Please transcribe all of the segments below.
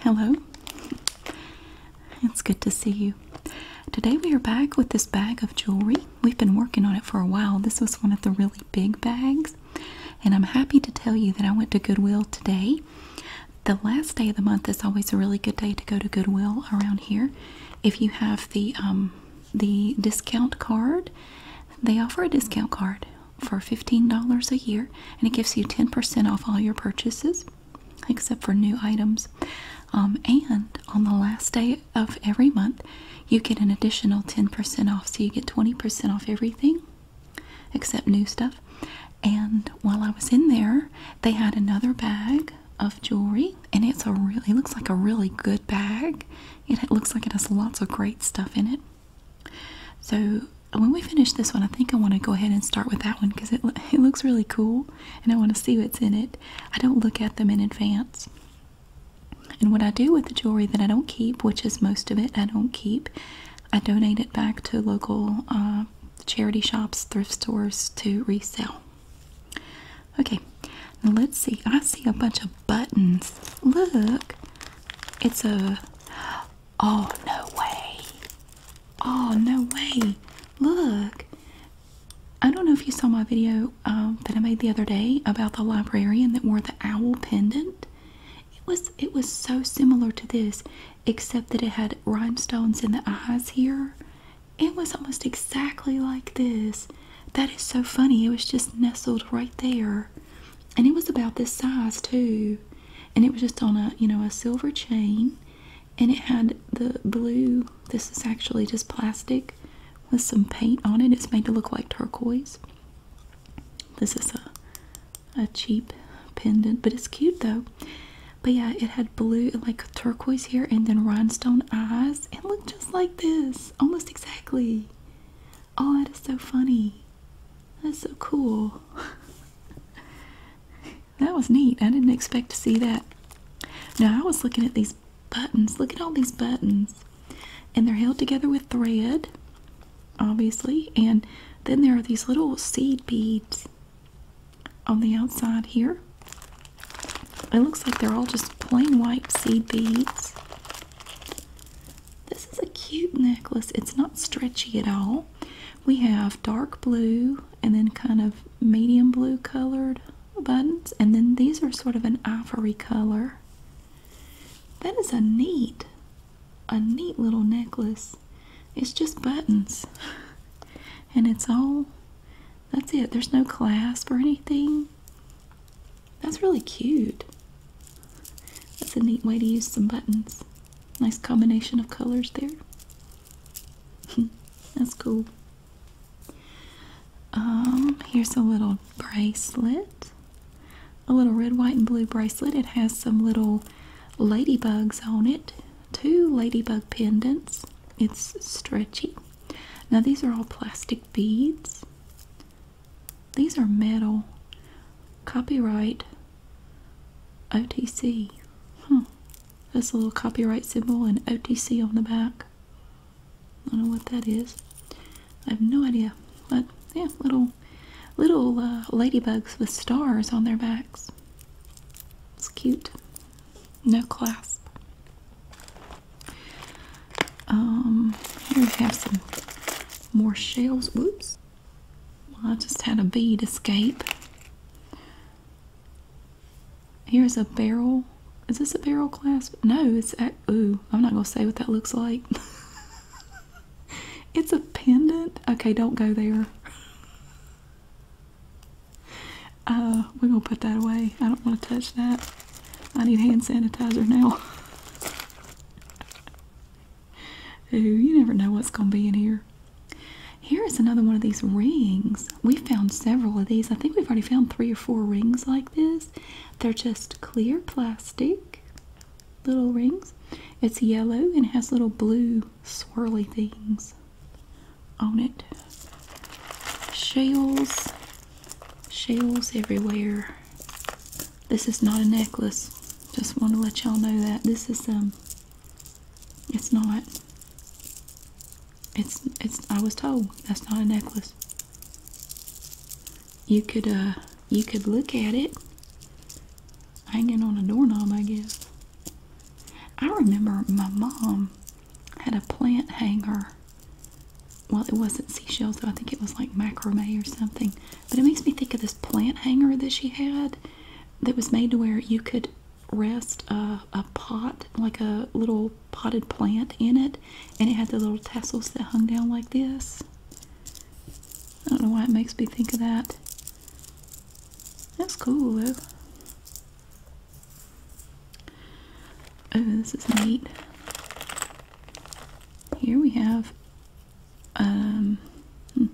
Hello. It's good to see you. Today we are back with this bag of jewelry. We've been working on it for a while. This was one of the really big bags. And I'm happy to tell you that I went to Goodwill today. The last day of the month is always a really good day to go to Goodwill around here. If you have the um, the discount card, they offer a discount card for $15 a year and it gives you 10% off all your purchases except for new items. Um, and on the last day of every month, you get an additional 10% off. So you get 20% off everything except new stuff. And while I was in there, they had another bag of jewelry and it's a really looks like a really good bag it looks like it has lots of great stuff in it. So when we finish this one, I think I want to go ahead and start with that one because it, it looks really cool and I want to see what's in it. I don't look at them in advance. And what I do with the jewelry that I don't keep, which is most of it, I don't keep, I donate it back to local uh, charity shops, thrift stores to resell. Okay, let's see. I see a bunch of buttons. Look. It's a Oh, no way. Oh, no way. Look. I don't know if you saw my video um, that I made the other day about the librarian that wore the owl pendant. It was it was so similar to this, except that it had rhinestones in the eyes here. It was almost exactly like this. That is so funny. It was just nestled right there and it was about this size too and it was just on a you know a silver chain and it had the blue this is actually just plastic with some paint on it it's made to look like turquoise this is a a cheap pendant but it's cute though but yeah it had blue like turquoise here and then rhinestone eyes it looked just like this almost exactly Oh, that is so funny. That's so cool. that was neat. I didn't expect to see that. Now, I was looking at these buttons. Look at all these buttons. And they're held together with thread, obviously. And then there are these little seed beads on the outside here. It looks like they're all just plain white seed beads. This is a cute necklace. It's not stretchy at all. We have dark blue and then kind of medium blue colored buttons, and then these are sort of an ivory color. That is a neat, a neat little necklace. It's just buttons, and it's all that's it. There's no clasp or anything. That's really cute. That's a neat way to use some buttons. Nice combination of colors there. That's cool. Um, here's a little bracelet. A little red, white, and blue bracelet. It has some little ladybugs on it. Two ladybug pendants. It's stretchy. Now, these are all plastic beads. These are metal. Copyright OTC. Huh. Hmm. That's a little copyright symbol and OTC on the back. I don't know what that is. I have no idea. But yeah, little little uh, ladybugs with stars on their backs. It's cute. No clasp. Um, here we have some more shells. Whoops. I just had a bead escape. Here's a barrel. Is this a barrel clasp? No, it's at, ooh, I'm not gonna say what that looks like. it's a pendant. Okay, don't go there. Uh, we're gonna put that away. I don't want to touch that. I need hand sanitizer now. Ooh, you never know what's going to be in here. Here is another one of these rings. We found several of these. I think we've already found three or four rings like this. They're just clear plastic little rings. It's yellow and has little blue swirly things on it. Shells shells everywhere. This is not a necklace. Just want to let y'all know that this is some. Um, it's not. It's it's I was told that's not a necklace. You could uh you could look at it hanging on a doorknob, I guess. I remember my mom had a plant hanger well, it wasn't seashells, though. I think it was like macrame or something. But it makes me think of this plant hanger that she had that was made to where you could rest a pot, like a little potted plant in it, and it had the little tassels that hung down like this. I don't know why it makes me think of that. That's cool, though. Oh, this is neat. Here we have, um, hmm.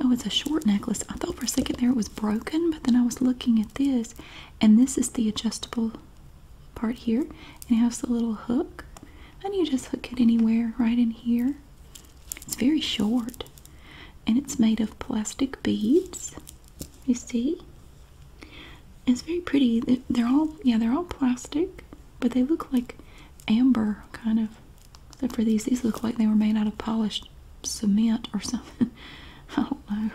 oh, it's a short necklace. I thought for a second there it was broken, but then I was looking at this, and this is the adjustable part here. it has the little hook, and you just hook it anywhere right in here. It's very short, and it's made of plastic beads. You see? It's very pretty. They're all yeah, they're all plastic, but they look like amber kind of. Except for these, these look like they were made out of polished cement or something. I don't know.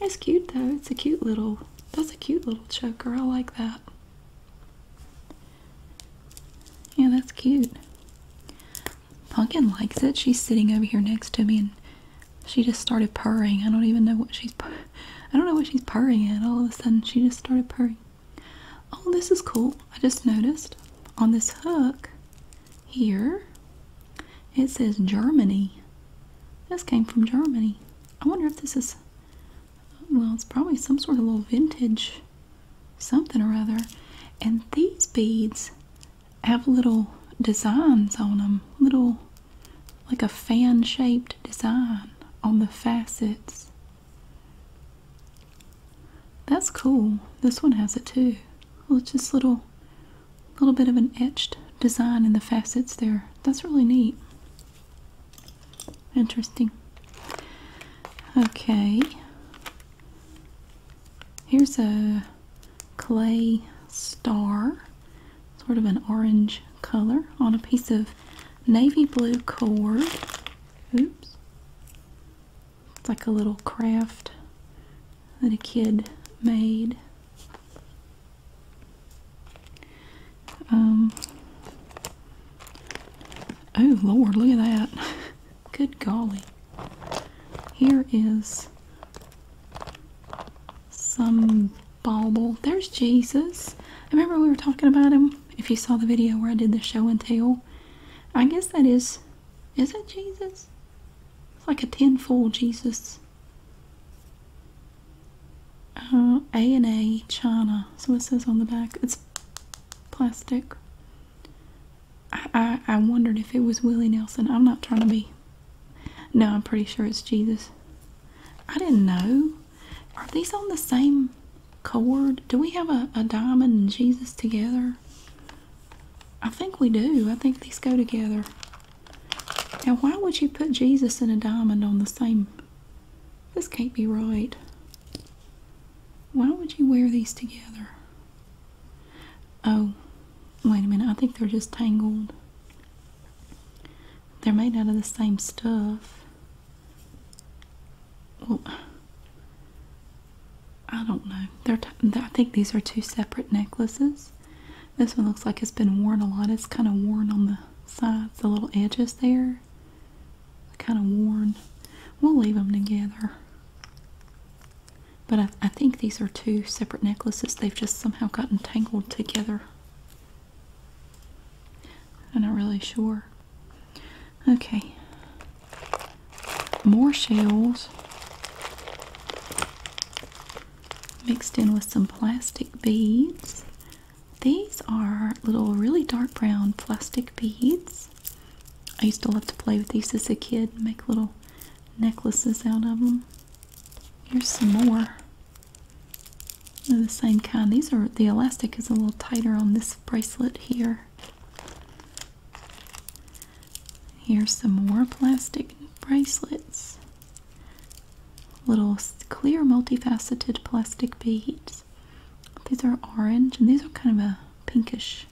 It's cute though. It's a cute little. That's a cute little choker. I like that. Yeah, that's cute. Pumpkin likes it. She's sitting over here next to me and she just started purring. I don't even know what she's I don't know what she's purring at. All of a sudden she just started purring. Oh, this is cool. I just noticed on this hook here it says Germany. This came from Germany. I wonder if this is well, it's probably some sort of little vintage something or other. And these beads have little designs on them, little like a fan shaped design on the facets. That's cool. This one has it too. Well, it's just little, little bit of an etched design in the facets there. That's really neat. Interesting. Okay. Here's a clay star sort of an orange color on a piece of navy blue cord. Oops. It's like a little craft that a kid made. Um, oh Lord, look at that. Good golly. Here is some bauble. There's Jesus. I remember we were talking about him. If you saw the video where I did the show and tell, I guess that is, is that Jesus? It's like a tin foil Jesus. Uh, A and A China. So it says on the back. It's plastic. I, I, I wondered if it was Willie Nelson. I'm not trying to be. No, I'm pretty sure it's Jesus. I didn't know. Are these on the same cord? Do we have a diamond and Jesus together? I think we do. I think these go together. Now, why would you put Jesus and a diamond on the same? This can't be right. Why would you wear these together? Oh, wait a minute. I think they're just tangled. They're made out of the same stuff. Well, oh. I don't know. I think these are two separate necklaces. This one looks like it's been worn a lot. It's kind of worn on the sides, the little edges there. Kind of worn. We'll leave them together. But I think these are two separate necklaces. They've just somehow gotten tangled together. I'm not really sure. Okay. More shells mixed in with some plastic beads. These are little really dark brown plastic beads. I used to love to play with these as a kid and make little necklaces out of them. Here's some more they're the same kind. These are the elastic is a little tighter on this bracelet here. Here's some more plastic bracelets. Little clear multifaceted plastic beads. These are orange and these are kind of a pinkish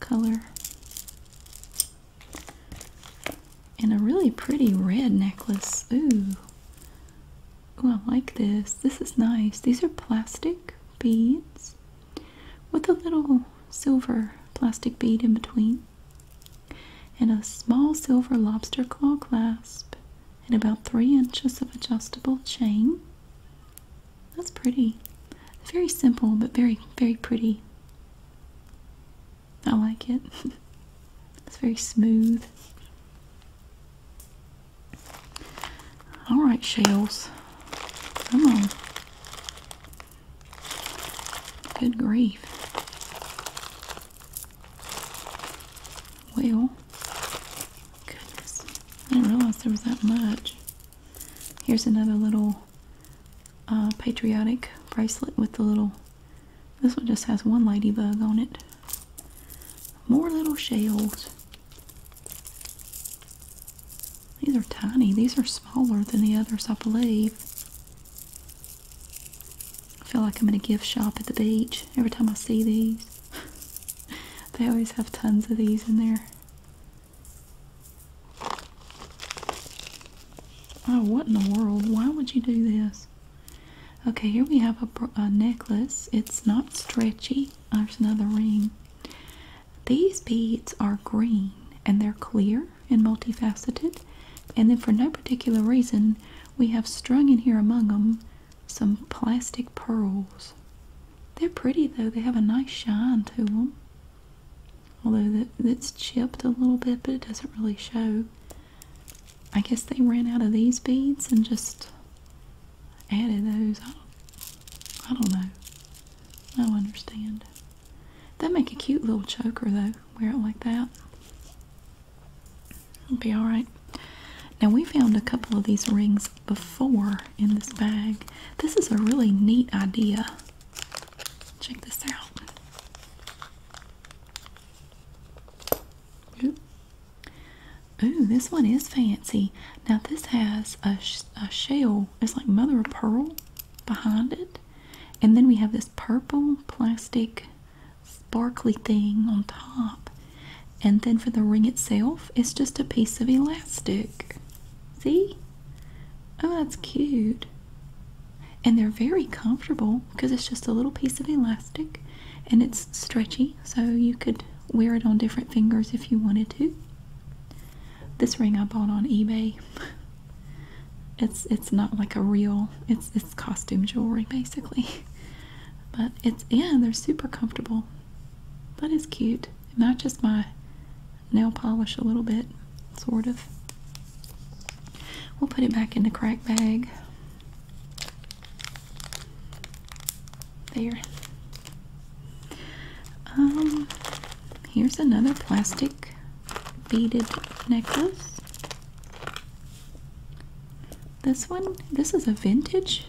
color and a really pretty red necklace. Ooh. Ooh, I like this. This is nice. These are plastic beads with a little silver plastic bead in between and a small silver lobster claw clasp and about three inches of adjustable chain. That's pretty. Very simple, but very, very pretty. I like it. it's very smooth. Alright, shells. Come on. Good grief. Well, goodness. I didn't realize there was that much. Here's another little uh, patriotic bracelet with the little this one just has one ladybug on it. More little shells. These are tiny. These are smaller than the others, I believe. I feel like I'm in a gift shop at the beach every time I see these. they always have tons of these in there. Oh, what in the world? Why would you do this? Okay, here we have a, necklace. It's not stretchy. There's another ring. These beads are green and they're clear and multifaceted. And then, for no particular reason, we have strung in here among them some plastic pearls. They're pretty though, they have a nice shine to them. Although it's chipped a little bit, but it doesn't really show. I guess they ran out of these beads and just added those. I don't, I don't know. I don't understand. That make a cute little choker though. Wear it like that. It'll be all right. Now we found a couple of these rings before in this bag. This is a really neat idea. Check this out. Ooh, this one is fancy. Now this has a, a shell. It's like mother of pearl behind it. And then we have this purple plastic sparkly thing on top. And then for the ring itself, it's just a piece of elastic. See? Oh, that's cute and they're very comfortable because it's just a little piece of elastic and it's stretchy so you could wear it on different fingers if you wanted to this ring i bought on ebay it's it's not like a real it's it's costume jewelry basically but it's yeah they're super comfortable that is cute not just my nail polish a little bit sort of We'll put it back in the crack bag. There. Um, here's another plastic beaded necklace. This one, this is a vintage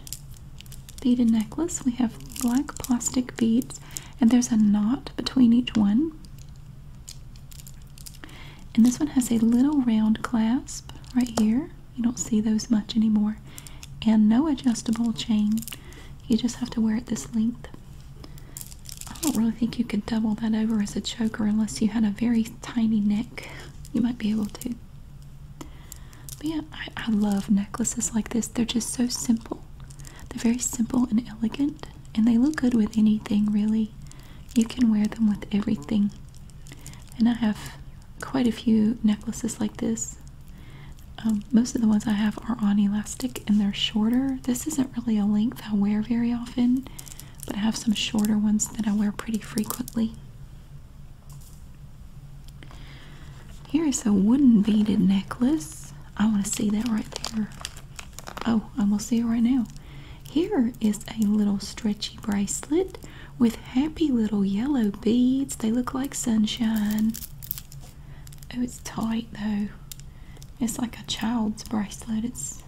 beaded necklace. We have black plastic beads, and there's a knot between each one. And this one has a little round clasp right here. You don't see those much anymore. And no adjustable chain. You just have to wear it this length. I don't really think you could double that over as a choker unless you had a very tiny neck. You might be able to. But yeah, I, love necklaces like this. They're just so simple. They're very simple and elegant. And they look good with anything, really. You can wear them with everything. And I have quite a few necklaces like this. Um, most of the ones I have are on elastic and they're shorter. This isn't really a length I wear very often, but I have some shorter ones that I wear pretty frequently. Here is a wooden beaded necklace. I want to see that right there. Oh, i will see it right now. Here is a little stretchy bracelet with happy little yellow beads. They look like sunshine. Oh, it's tight though. It's like a child's bracelet. It's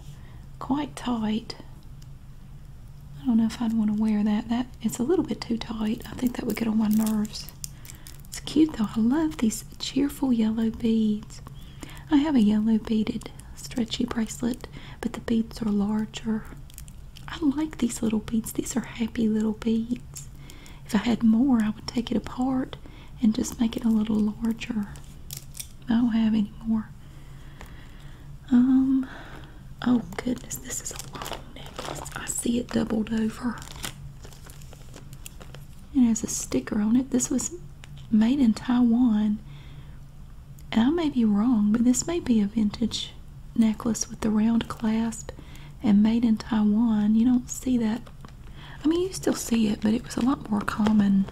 quite tight. I don't know if I'd want to wear that. That it's a little bit too tight. I think that would get on my nerves. It's cute though. I love these cheerful yellow beads. I have a yellow beaded stretchy bracelet, but the beads are larger. I like these little beads. These are happy little beads. If I had more, I would take it apart and just make it a little larger. I don't have any more. Um, oh goodness, this is a long necklace. I see it doubled over. It has a sticker on it. This was made in Taiwan. And I may be wrong, but this may be a vintage necklace with the round clasp and made in Taiwan. You don't see that. I mean, you still see it, but it was a lot more common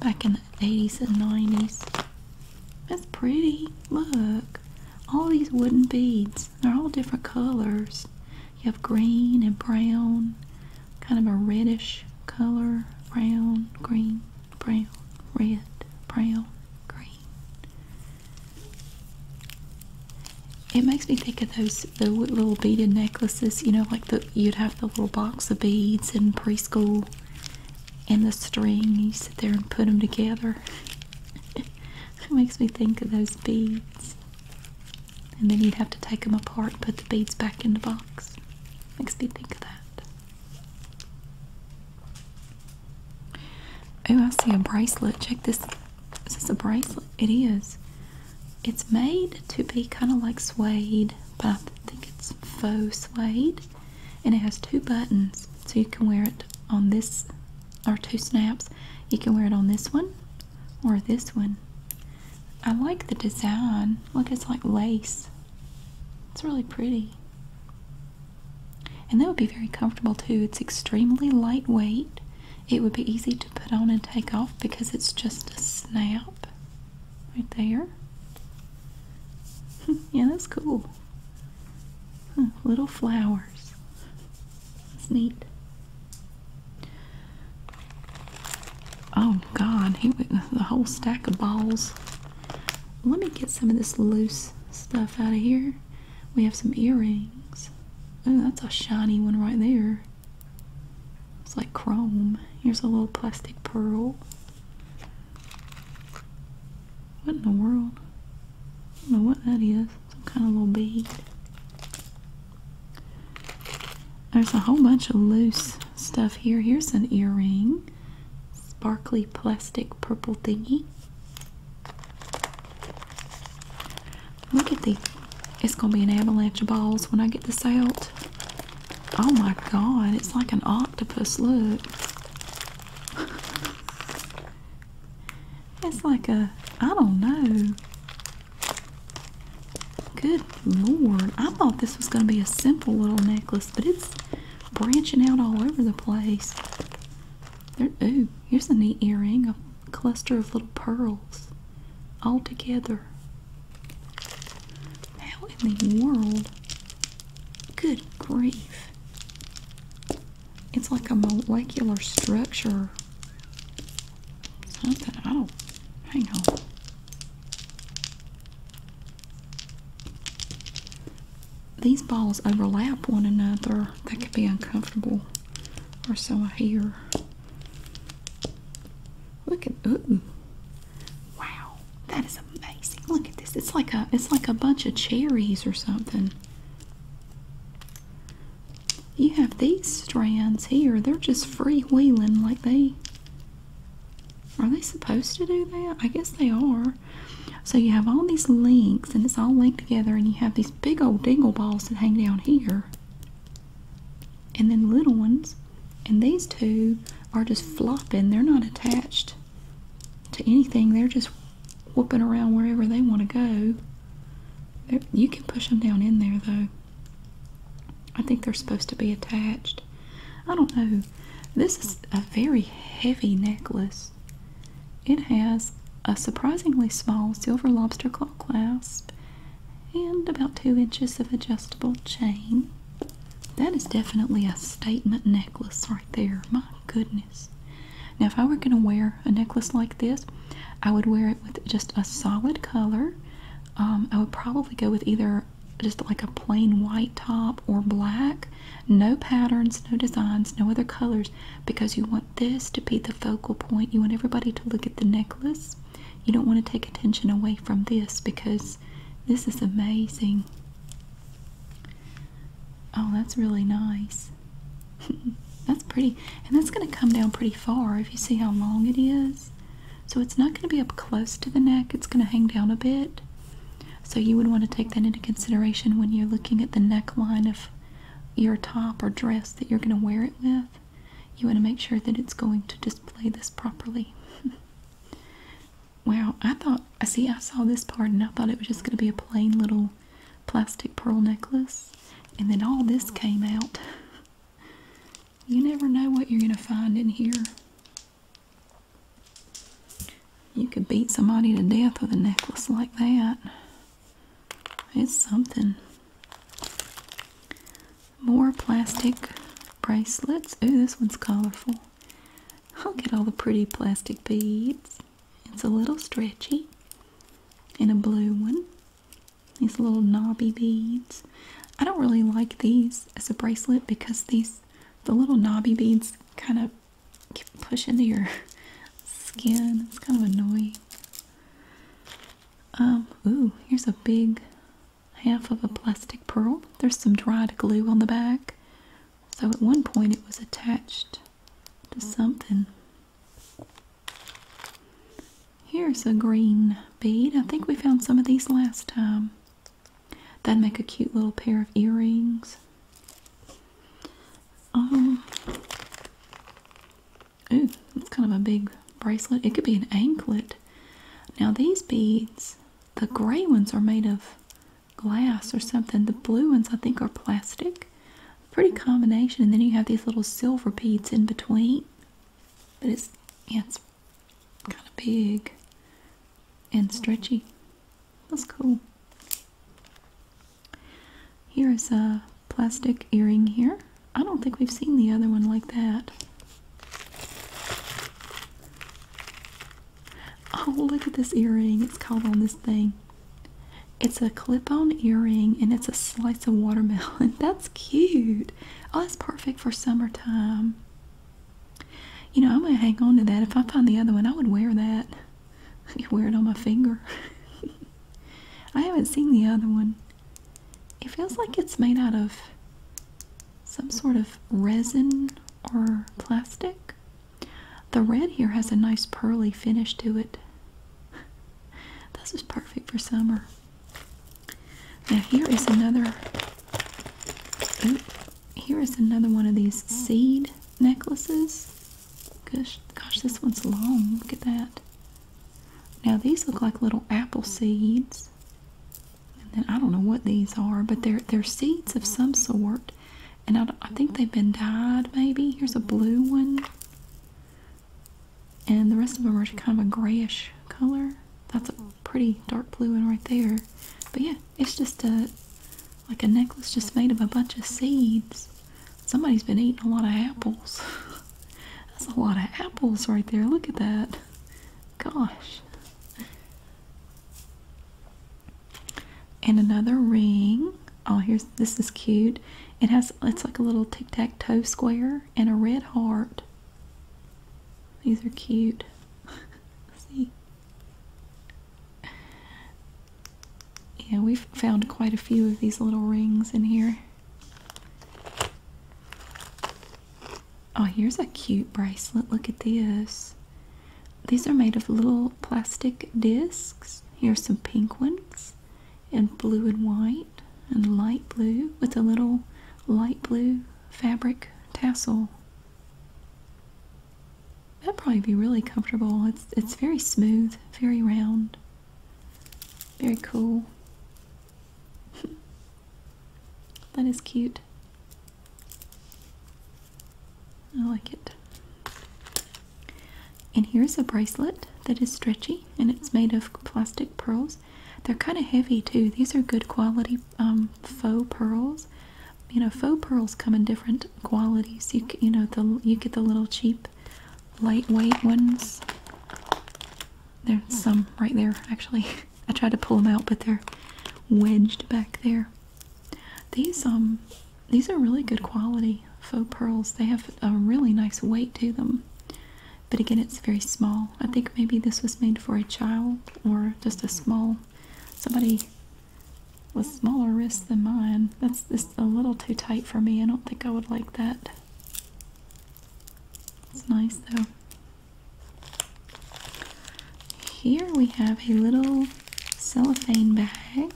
back in the 80s and 90s. That's pretty. Look. All these wooden beads. They're all different colors. You have green and brown kind of a reddish color brown, green, brown, red, brown, green. It makes me think of those the little beaded necklaces, you know, like the you'd have the little box of beads in preschool and the string, you sit there and put them together. it makes me think of those beads. And then you'd have to take them apart and put the beads back in the box. Makes me think of that. Oh, I see a bracelet. Check this. This Is a bracelet? It is. It's made to be kind of like suede, but I think it's faux suede. And it has two buttons. So you can wear it on this, or two snaps. You can wear it on this one or this one. I like the design. Look, it's like lace. It's really pretty. And that would be very comfortable too. It's extremely lightweight. It would be easy to put on and take off because it's just a snap right there. yeah, that's cool. little flowers. That's neat. Oh God, he went with the whole stack of balls. Let me get some of this loose stuff out of here. We have some earrings. Oh, that's a shiny one right there. It's like chrome. Here's a little plastic pearl. What in the world? I don't know what that is. Some kind of little bead. There's a whole bunch of loose stuff here. Here's an earring. Sparkly plastic purple thingy. Look at the it's gonna be an avalanche of balls when I get this out. Oh my god, it's like an octopus, look. it's like a I don't know. Good lord. I thought this was going to be a simple little necklace, but it's branching out all over the place. Oh, here's a neat earring, a cluster of little pearls all together. How in the world? Good grief. It's like a molecular structure. Something, I do these balls overlap one another. That could be uncomfortable, or so I hear. Look at ooh, wow, that is amazing. Look at this. It's like a it's like a bunch of cherries or something. You have these strands here. They're just free wheeling like they are they supposed to do that? I guess they are. So you have all these links and it's all linked together and you have these big old dingle balls that hang down here. And then little ones. And these two are just flopping. They're not attached to anything. They're just whooping around wherever they want to go. you can push them down in there though. I think they're supposed to be attached. I don't know. This is a very heavy necklace. It has a surprisingly small silver lobster claw clasp and about two inches of adjustable chain. That is definitely a statement necklace right there. My goodness. Now, if I were going to wear a necklace like this, I would wear it with just a solid color. Um, I would probably go with either just like a plain white top or black, no patterns, no designs, no other colors, because you want this to be the focal point. You want everybody to look at the necklace. You don't want to take attention away from this because this is amazing. Oh, that's really nice. that's pretty, and that's going to come down pretty far if you see how long it is. So it's not going to be up close to the neck, it's going to hang down a bit. So you would want to take that into consideration when you're looking at the neckline of your top or dress that you're going to wear it with. You want to make sure that it's going to display this properly. Well, I thought, I see, I saw this part and I thought it was just going to be a plain little plastic pearl necklace. And then all this came out. You never know what you're going to find in here. You could beat somebody to death with a necklace like that. It's something. More plastic bracelets. Oh, this one's colorful. I'll get all the pretty plastic beads. It's a little stretchy. And a blue one. These little knobby beads. I don't really like these as a bracelet because these the little knobby beads kind of push into your skin. It's kind of annoying. Um, ooh, here's a big half of a plastic pearl. There's some dried glue on the back. So at one point it was attached to something. Here's a green bead. I think we found some of these last time. That'd make a cute little pair of earrings. Um, ooh, that's kind of a big bracelet. It could be an anklet. Now these beads, the gray ones are made of glass or something. The blue ones I think are plastic. Pretty combination. And then you have these little silver beads in between. But it's yeah, it's kind of big and stretchy. That's cool. Here is a plastic earring here. I don't think we've seen the other one like that. Oh, look at this earring. It's called on this thing. It's a clip-on earring and it's a slice of watermelon. That's cute. Oh, that's perfect for summertime. You know, I'm going to hang on to that. If I find the other one, I would wear that. I could wear it on my finger. I haven't seen the other one. It feels like it's made out of some sort of resin or plastic. The red here has a nice pearly finish to it. This is perfect for summer. Now here is another. here is another one of these seed necklaces. Gosh, gosh, this one's long. Look at that. Now these look like little apple seeds. And then I don't know what these are, but they're they're seeds of some sort. And I, I think they've been dyed. Maybe here's a blue one and the rest of them are just kind of a grayish color. That's a pretty dark blue one right there. But yeah, it's just a like a necklace just made of a bunch of seeds. Somebody's been eating a lot of apples. That's a lot of apples right there. Look at that. Gosh. And another ring. Oh, here's this is cute. It has it's like a little tic tac toe square and a red heart. These are cute. See? Yeah, we've found quite a few of these little rings in here. Oh, here's a cute bracelet. Look at this. These are made of little plastic discs. Here's some pink ones and blue and white and light blue with a little light blue fabric tassel. That'd probably be really comfortable. It's it's very smooth, very round. Very cool. that is cute. I like it. And here's a bracelet that is stretchy and it's made of plastic pearls. They're kind of heavy too. These are good quality um, faux pearls. You know, faux pearls come in different qualities. You you know the you get the little cheap, lightweight ones. There's some right there actually. I tried to pull them out, but they're wedged back there. These um these are really good quality faux pearls. They have a really nice weight to them but again it's very small i think maybe this was made for a child or just a small somebody with smaller wrists than mine that's just a little too tight for me i don't think i would like that it's nice though here we have a little cellophane bag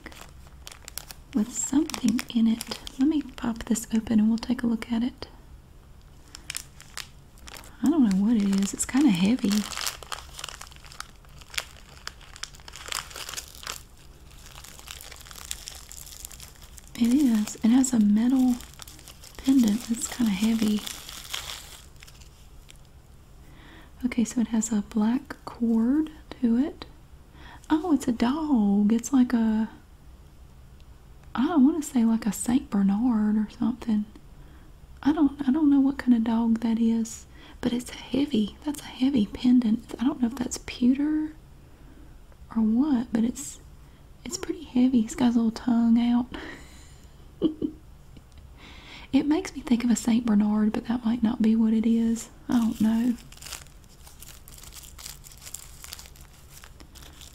with something in it let me pop this open and we'll take a look at it I don't know what it is. It's kind of heavy. It is. It has a metal pendant It's kind of heavy. Okay, so it has a black cord to it. Oh, it's a dog. It's like a I don't want to say like a Saint Bernard or something. I don't I don't know what kind of dog that is, but it's heavy. That's a heavy pendant. I don't know if that's pewter or what, but it's it's pretty heavy. He's got his little tongue out. it makes me think of a Saint Bernard, but that might not be what it is. I don't know.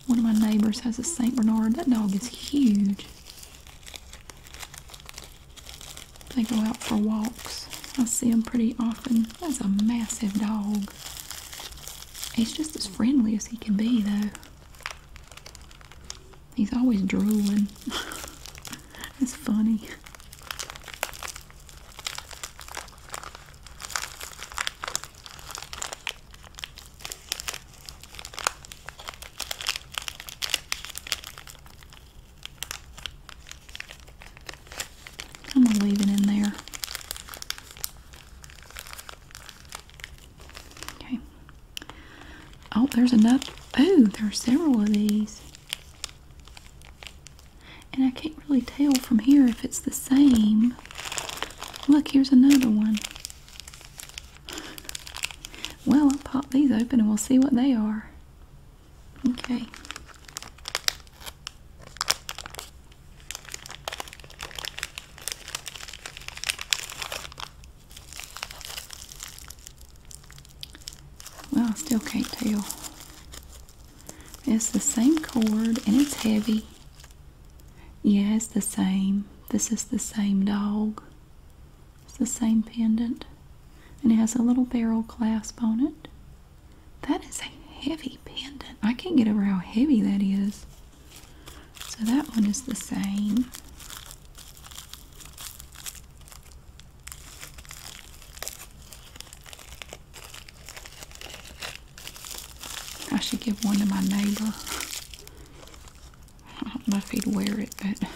One of my neighbors has a St. Bernard. That dog is huge. They go out for walks. I see them pretty often. That's a massive dog. He's just as friendly as he can be, though. He's always drooling. That's funny. I'm going to leave it in there. Okay. Oh, there's enough. Oh, there are several of these. And I can't really tell from here if it's the same Look, here's another one. Well, I'll pop these open and we'll see what they are. Okay. Well, I still can't tell. It's the same cord and it's heavy. Yes, the same. This is the same dog. It's the same pendant. And it has a little barrel clasp on it. That is a heavy pendant. I can't get over how heavy that is. So that one is the same. I should give one to my neighbor. I don't know if he'd wear it, but.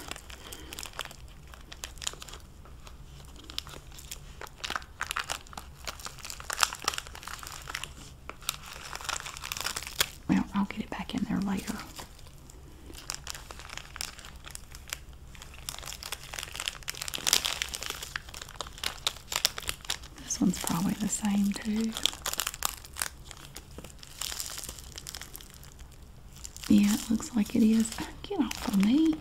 Well, I'll get it back in there later. This one's probably the same too. Yeah, it looks like it is. Get off of me.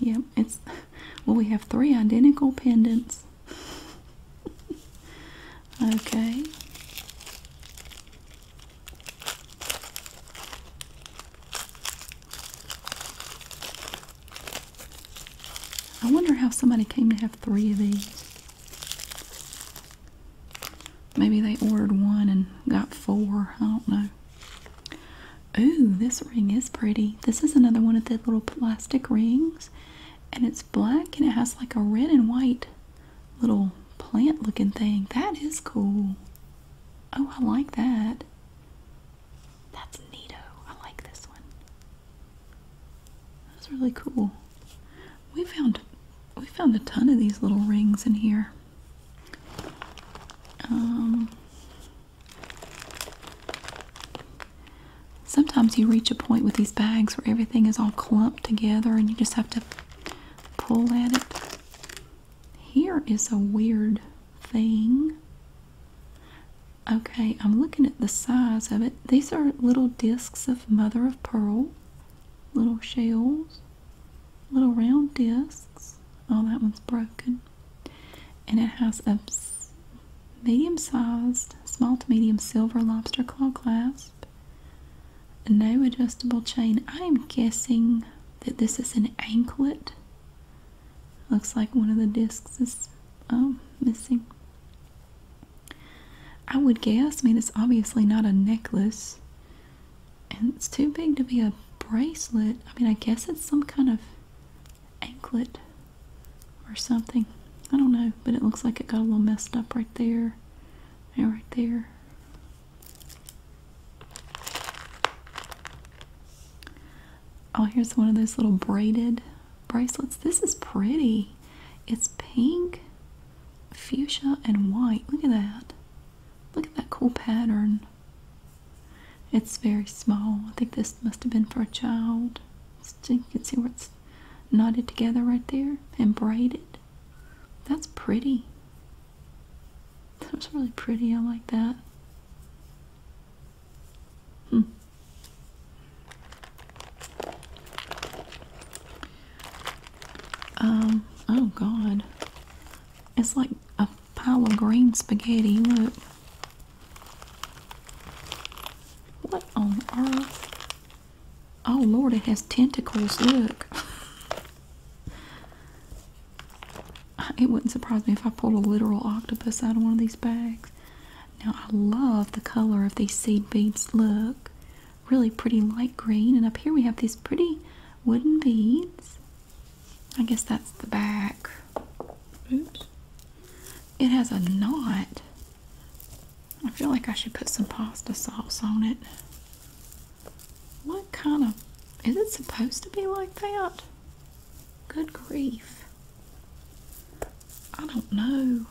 Yep, it's well, we have three identical pendants. okay. I wonder how somebody came to have three of these. Maybe they ordered one and got four. I don't know. Ooh, this ring is pretty. This is another one of the little plastic rings. And it's black and it has like a red and white little plant looking thing. That is cool. Oh, I like that. That's neato. I like this one. That's really cool. We found we found a ton of these little rings in here. Um, sometimes you reach a point with these bags where everything is all clumped together and you just have to pull at it. Here is a weird thing. Okay, I'm looking at the size of it. These are little discs of mother of pearl, little shells, little round discs. Oh, that one's broken. And it has a medium sized, small to medium silver lobster claw clasp, no adjustable chain. I'm guessing that this is an anklet. Looks like one of the discs is um, missing. I would guess, I mean, it's obviously not a necklace. And it's too big to be a bracelet. I mean, I guess it's some kind of anklet or something. I don't know, but it looks like it got a little messed up right there and right there. Oh, here's one of those little braided bracelets. This is pretty. It's pink, fuchsia, and white. Look at that. Look at that cool pattern. It's very small. I think this must have been for a child. you can see where it's knotted together right there and braided. That's pretty. That was really pretty. I like that. Hmm. Um, oh god. It's like a pile of green spaghetti. Look. What on earth? Oh lord, it has tentacles. Look. It wouldn't surprise me if I pulled a literal octopus out of one of these bags. Now, I love the color of these seed beads. Look, really pretty light green. And up here we have these pretty wooden beads. I guess that's the back. Oops. It has a knot. I feel like I should put some pasta sauce on it. What kind of. Is it supposed to be like that? Good grief. I don't know.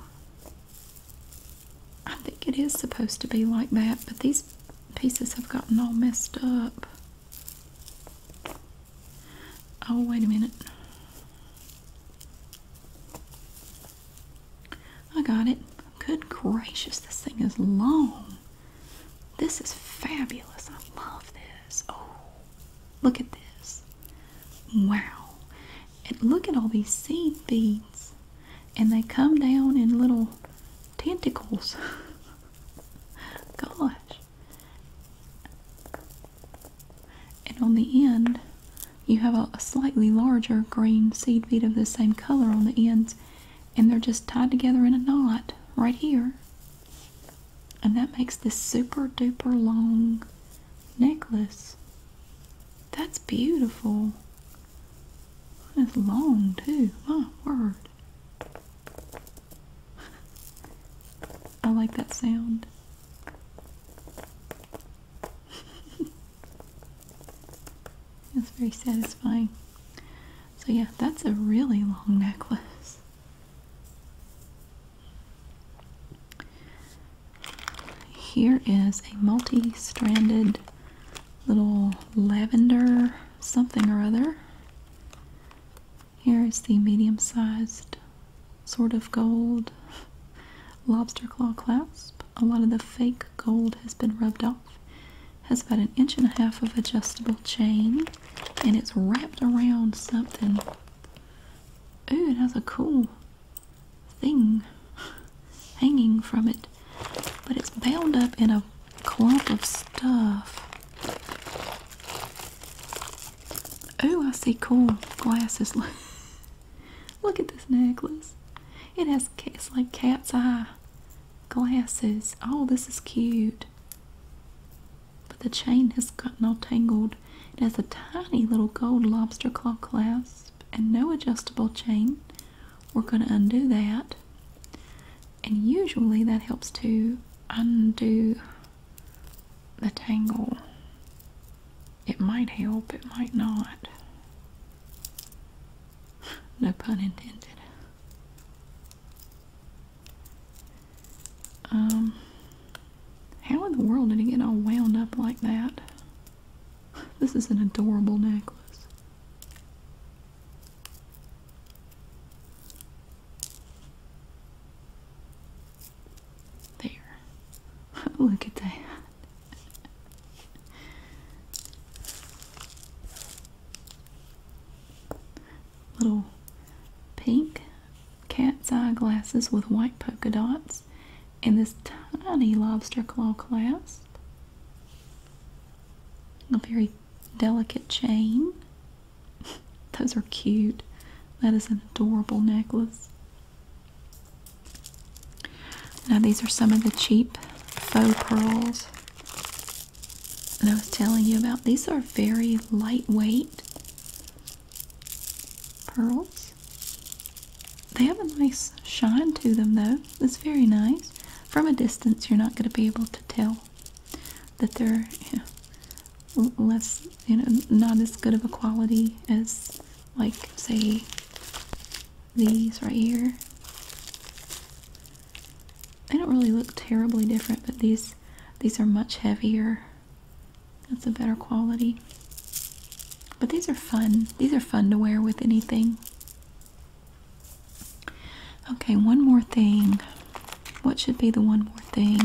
I think it is supposed to be like that, but these pieces have gotten all messed up. Oh, wait a minute. I got it. Good gracious, this thing is long. This is fabulous. I love this. Oh, look at this. Wow. And look at all these seed beads. And they come down in little tentacles. Gosh. And on the end, you have a, slightly larger green seed bead of the same color on the ends and they're just tied together in a knot right here. And that makes this super duper long necklace. That's beautiful. It's long too. My word. I like that sound. It's very satisfying. So yeah, that's a really long necklace. Here is a multi-stranded little lavender something or other. Here is the medium-sized sort of gold lobster claw clasp. A lot of the fake gold has been rubbed off has about an inch and a half of adjustable chain and it's wrapped around something. Ooh, it has a cool thing hanging from it, but it's bound up in a clump of stuff. Oh, I see cool glasses. Look at this necklace. It has it's like cat's eye glasses. Oh, this is cute. But the chain has gotten all tangled. It has a tiny little gold lobster claw clasp and no adjustable chain. We're going to undo that. And usually that helps to undo the tangle. It might help, it might not. No pun intended. Um, how in the world did he get all wound up like that? This is an adorable necklace. There. Look at that. Little pink cat's eye glasses with white polka dots, and this tiny lobster claw clasp. A very delicate chain. Those are cute. That is an adorable necklace. Now these are some of the cheap faux pearls that I was telling you about. These are very lightweight pearls. They have a nice shine to them though. It's very nice. From a distance you're not going to be able to tell that they're less, you know, not as good of a quality as like say these right here. They don't really look terribly different, but these these are much heavier. That's a better quality. But these are fun. These are fun to wear with anything. Okay, one more thing. What should be the one more thing?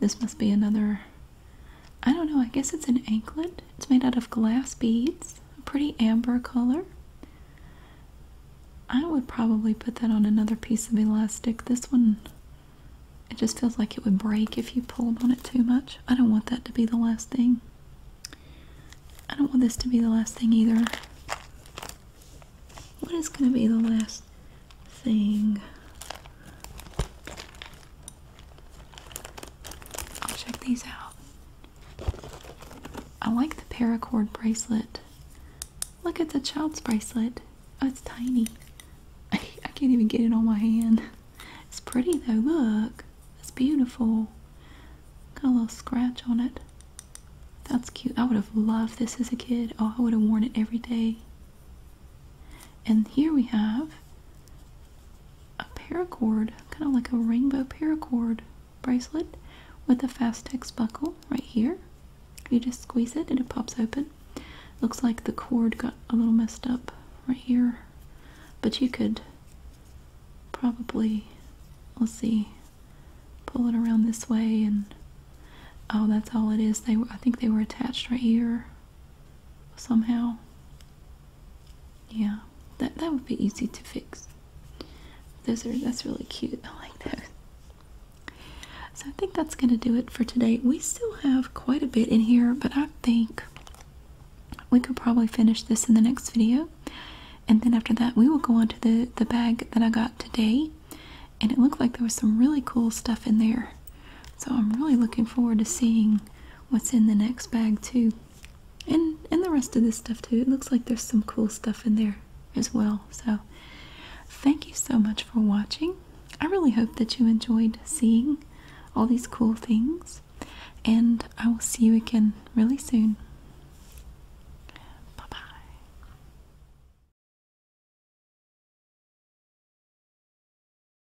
This must be another I don't know, I guess it's an anklet. It's made out of glass beads, a pretty amber color. I would probably put that on another piece of elastic. This one, it just feels like it would break if you pulled on it too much. I don't want that to be the last thing. I don't want this to be the last thing either. What is going to be the last thing? I'll check these out. I like the paracord bracelet. Look it's a child's bracelet. Oh, it's tiny. I can't even get it on my hand. It's pretty though, look. It's beautiful. Got a little scratch on it. That's cute. I would have loved this as a kid. Oh, I would have worn it every day. And here we have a paracord, kind of like a rainbow paracord bracelet with a Fastex buckle right here. You just squeeze it and it pops open. Looks like the cord got a little messed up right here, but you could probably, let's see, pull it around this way and oh, that's all it is. They, I think they were attached right here somehow. Yeah, that that would be easy to fix. Those are that's really cute. I like those. So I think that's gonna do it for today. We still have quite a bit in here, but I think we could probably finish this in the next video. And then after that, we will go on to the, the bag that I got today. And it looked like there was some really cool stuff in there. So I'm really looking forward to seeing what's in the next bag too. And and the rest of this stuff too. It looks like there's some cool stuff in there as well. So thank you so much for watching. I really hope that you enjoyed seeing all these cool things. And I will see you again really soon. Bye bye.